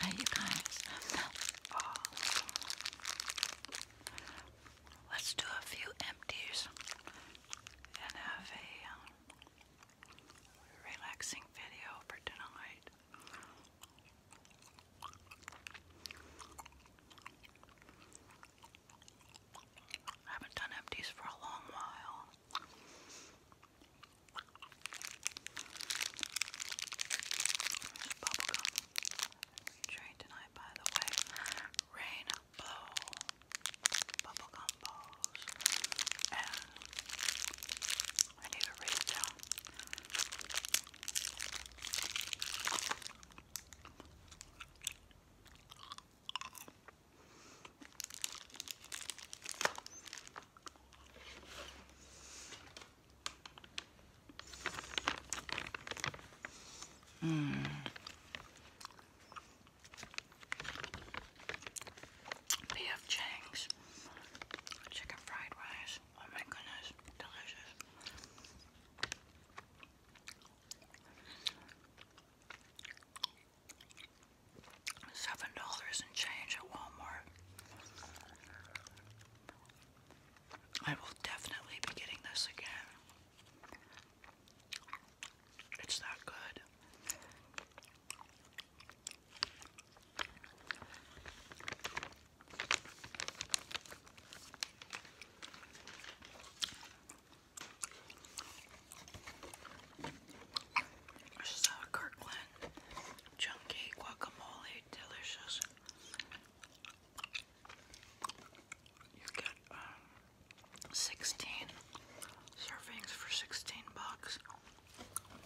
Hey, you guys. Oh. Let's do a few empties and have a um, relaxing video for tonight. haven't done empties for a long while. Bubblegum. tonight, by the way. Rain bowl, bubblegum bowls, and I need to read them. Mm. P.F. Chang's chicken fried rice. Oh my goodness, delicious. Seven dollars and change at Walmart. I will definitely be getting this again. It's not good. This is a Kirkland Chunky Guacamole Delicious you get um, 16 servings for 16 bucks.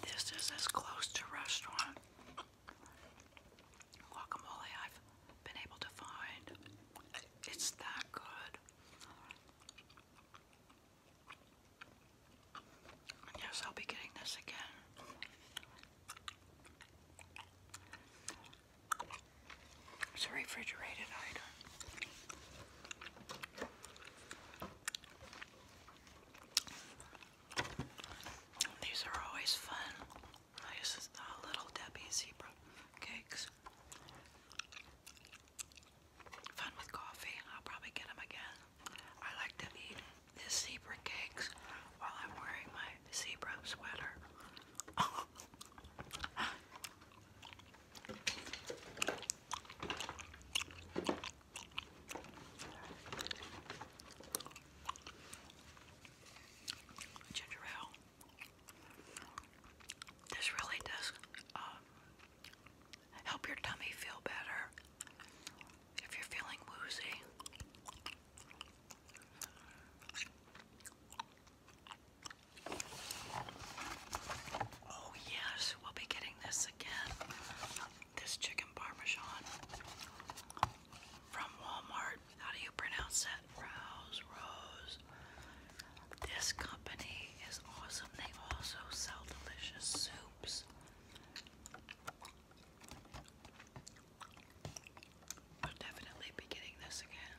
This is as close to restaurant guacamole I've been able to find. It's that good. Yes, I'll be getting this again. It's a refrigerated item. These are always fun. This is a Little Debbie Zebra Cakes. Fun with coffee. I'll probably get them again. I like to eat the zebra cakes while I'm wearing my zebra sweater. Ginger ale. This really does um, help your tummy feel better if you're feeling woozy. Oh, yes, we'll be getting this again. This chicken parmesan from Walmart. How do you pronounce that? Rose, Rose. This company is awesome. They also sell delicious soups. I'll definitely be getting this again.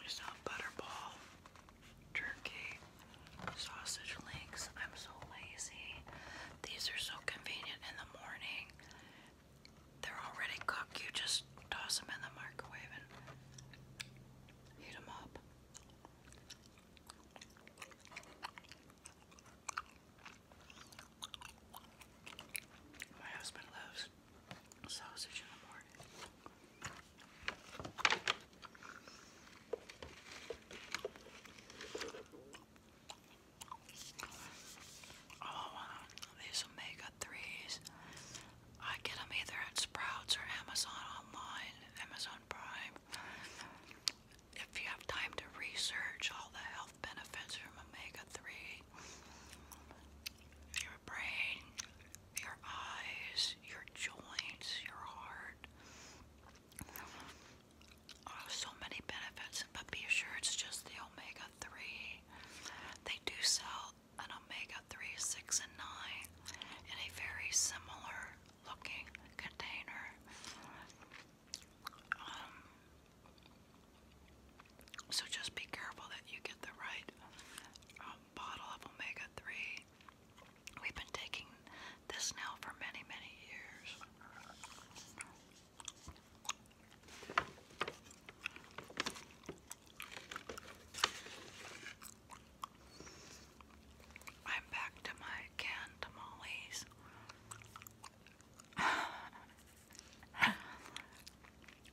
We saw butterball, turkey, sausage links. I'm so lazy. These are so convenient in the morning. They're already cooked. You just toss them in the microwave and heat them up. My husband loves sausage in the morning. Oh, these omega 3s. I get them either at Sprouts or Amazon online. Amazon Prime. If you have time to research all the health benefits from omega 3, your brain, your eyes, your joints, your heart. Oh, so many benefits, but be sure it's just the omega 3. They do sell an omega 3, 6, and 9 in a very similar looking container. Um, so just be careful that you get the right um, bottle of omega 3. We've been taking this now for many, many years. I'm back to my canned tamales.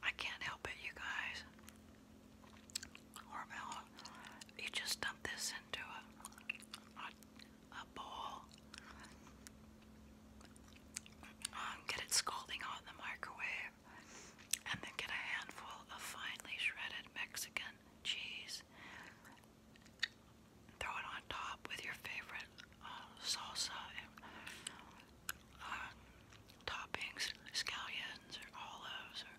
I can't help it, you guys. Hormel, you just dump this into a, a, bowl. Um, get it scalding hot the microwave, and then get a handful of finely shredded Mexican cheese. Throw it on top with your favorite uh, salsa and uh, toppings, scallions or olives or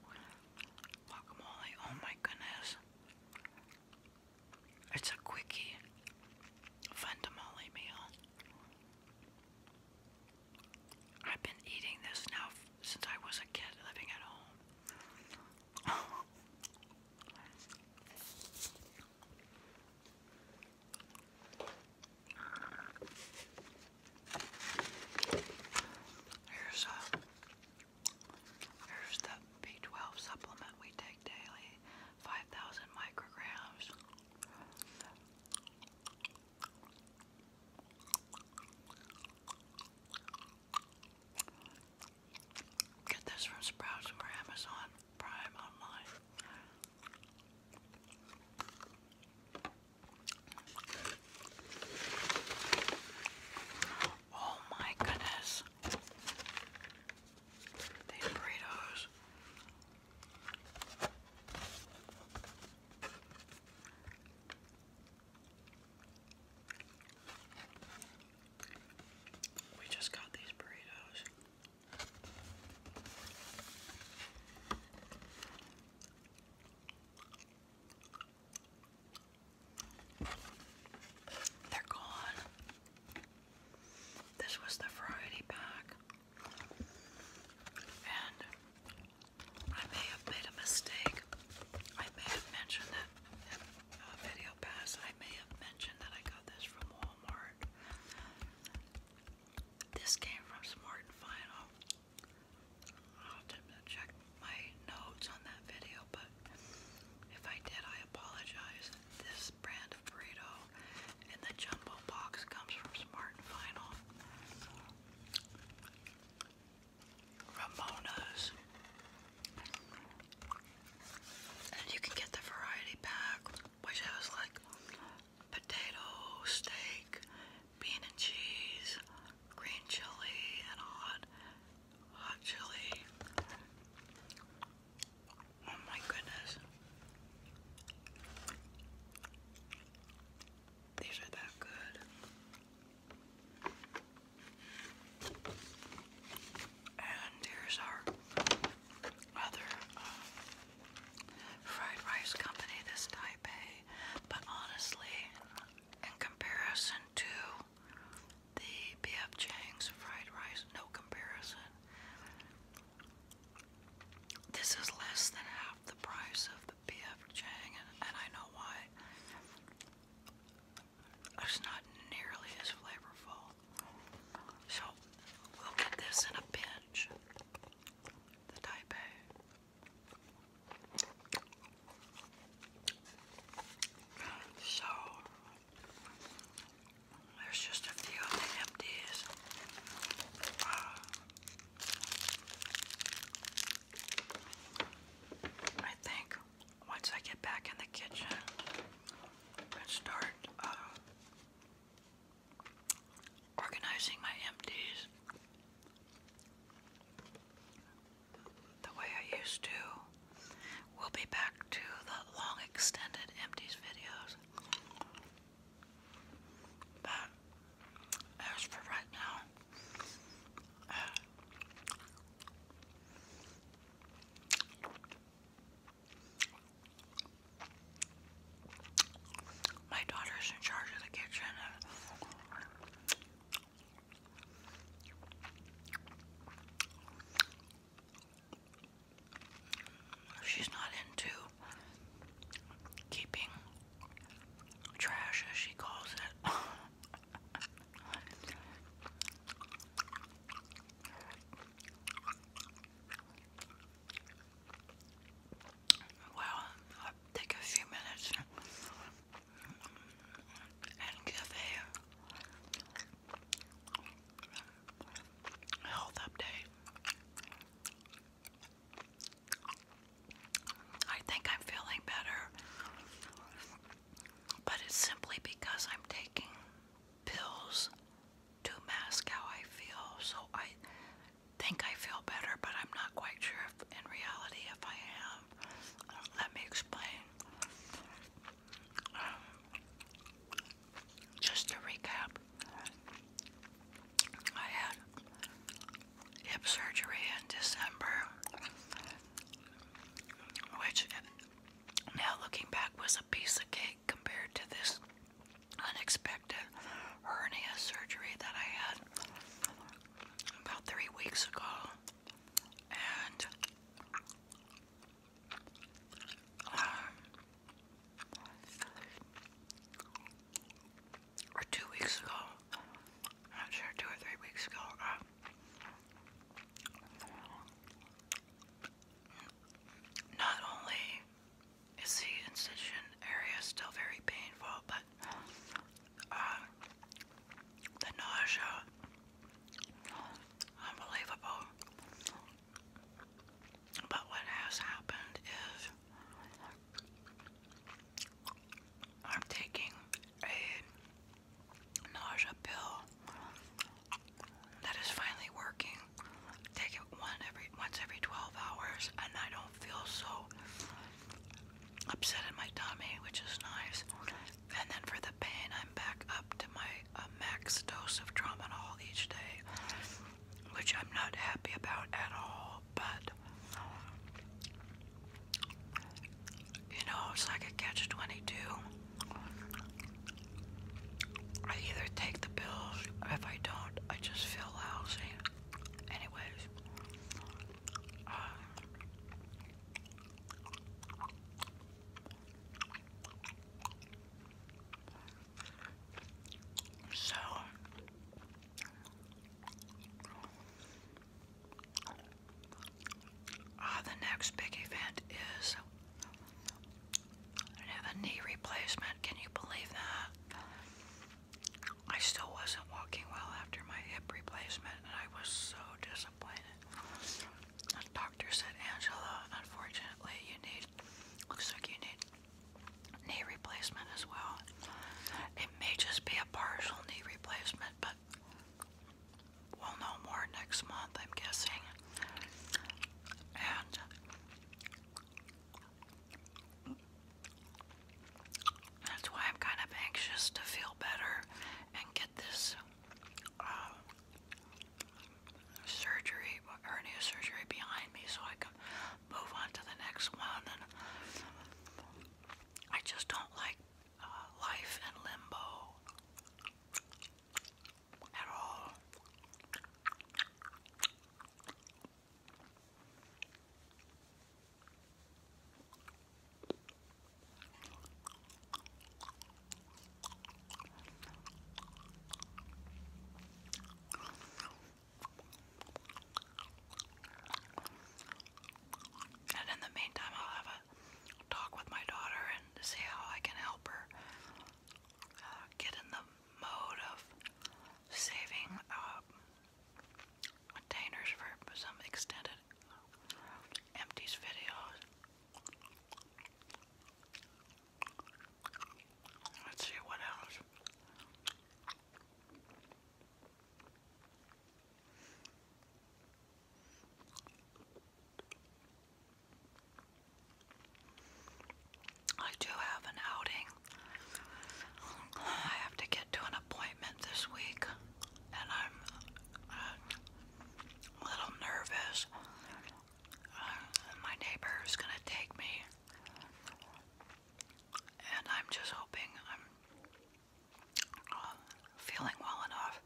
guacamole. Oh my goodness. It's a quickie, fun meal. I've been eating this now since I was a kid living at home. Here's a uh, here's the B12 supplement we take daily, 5,000 micrograms. Get this from Sprouts or Amazon Prime online. Oh my goodness. These burritos. We just got these burritos. They're gone. This was the variety pack. And I may have made a mistake. I may have mentioned that in a video past, I may have mentioned that I got this from Walmart. This came from Smart and Final. I'll have to check my notes on that video, but if I did, I apologize. This brand of burrito in the jumbo box comes from Smart and Final. Ramona's. And you can get the variety pack, which has like potato, steak, bean and cheese, green chili, and hot, hot chili. Oh my goodness. These are that good. And here's our other uh, fried rice company, this Taipei. But honestly, in comparison to the BF Chang's fried rice, no comparison. This is less than half the price of the BF and, I know why. It's not nearly as flavorful. So we'll get this in a pinch. The Taipei. So there's just a few empties. Uh, I think once I get back in the kitchen and start uh, organizing my empties the way I used to, we'll be back to the long extended empties videos. But as for right now, uh, my daughter's in charge of the kitchen. Uh, she's not into keeping trash as she calls it. Well, take a few minutes and give a health update. I think I'm feeling better, but it's simply because I'm taking pills to mask how I feel. So I think I feel better, but I'm not quite sure if in reality if I am. Let me explain. Um, just to recap, I had hip surgery in December, which now looking back was a piece of cake compared to this unexpected hernia surgery that I had about three weeks ago. And um, or two weeks ago, I'm sure, two or three weeks ago, uh, not only is the incision area still very painful, but uh, the nausea, unbelievable. But what has happened is I'm taking a nausea pill that is finally working. Take it once every 12 hours, and I don't feel so upset in my tummy, which is nice. And then for the pain, I'm back up to my max dose of tramadol each day, which I'm not happy about at all but you know, it's like a catch 22. I either take the pills, if I don't, I just feel lousy. Anyways, uh, so uh, the next big event is I have a knee replacement. Can you believe that? I still wasn't walking well after my hip replacement, and I was so disappointed. The doctor said, Angela, unfortunately, you need, looks like you need knee replacement as well. It may just be a partial knee replacement, but we'll know more next month, I'm guessing. And that's why I'm kind of anxious to feel better and get this um, surgery, hernia surgery behind me so I can move on to the next one I just don't like uh, life in limbo at all. And in the meantime, I'll have a talk with my daughter and see how I can help her uh, get in the mode of saving uh, containers for some extended uh, empties videos. Let's see what else. I do have an outing. I have to get to an appointment this week, and I'm a little nervous. Uh, my neighbor is going to take me and I'm just hoping I'm uh, feeling well enough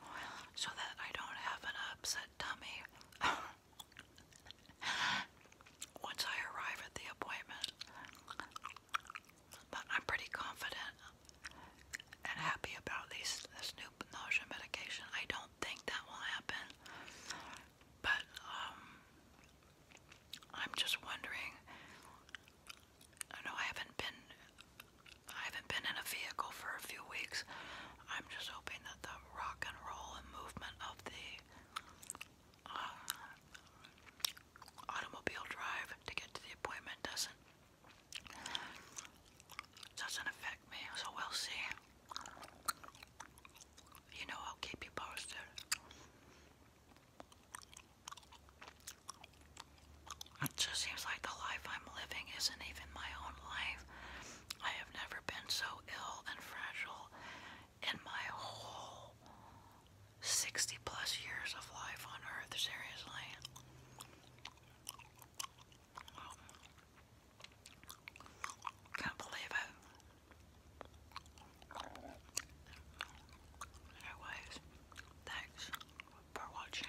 so that I don't have an upset tummy once I arrive at the appointment. But I'm pretty confident and happy about this new nausea medication. I don't think that will happen, but um, I'm just wondering. I know I haven't been I haven't been in a vehicle for a few weeks. I'm just hoping that the rock and roll and movement of the uh, automobile drive to get to the appointment doesn't doesn't affect me. So we'll see. You know I'll keep you posted. It just seems like the life I'm living isn't even my own life. I have never been so ill and fragile in my whole 60 plus years of life on earth, seriously. Can't believe it. Anyways, thanks for watching.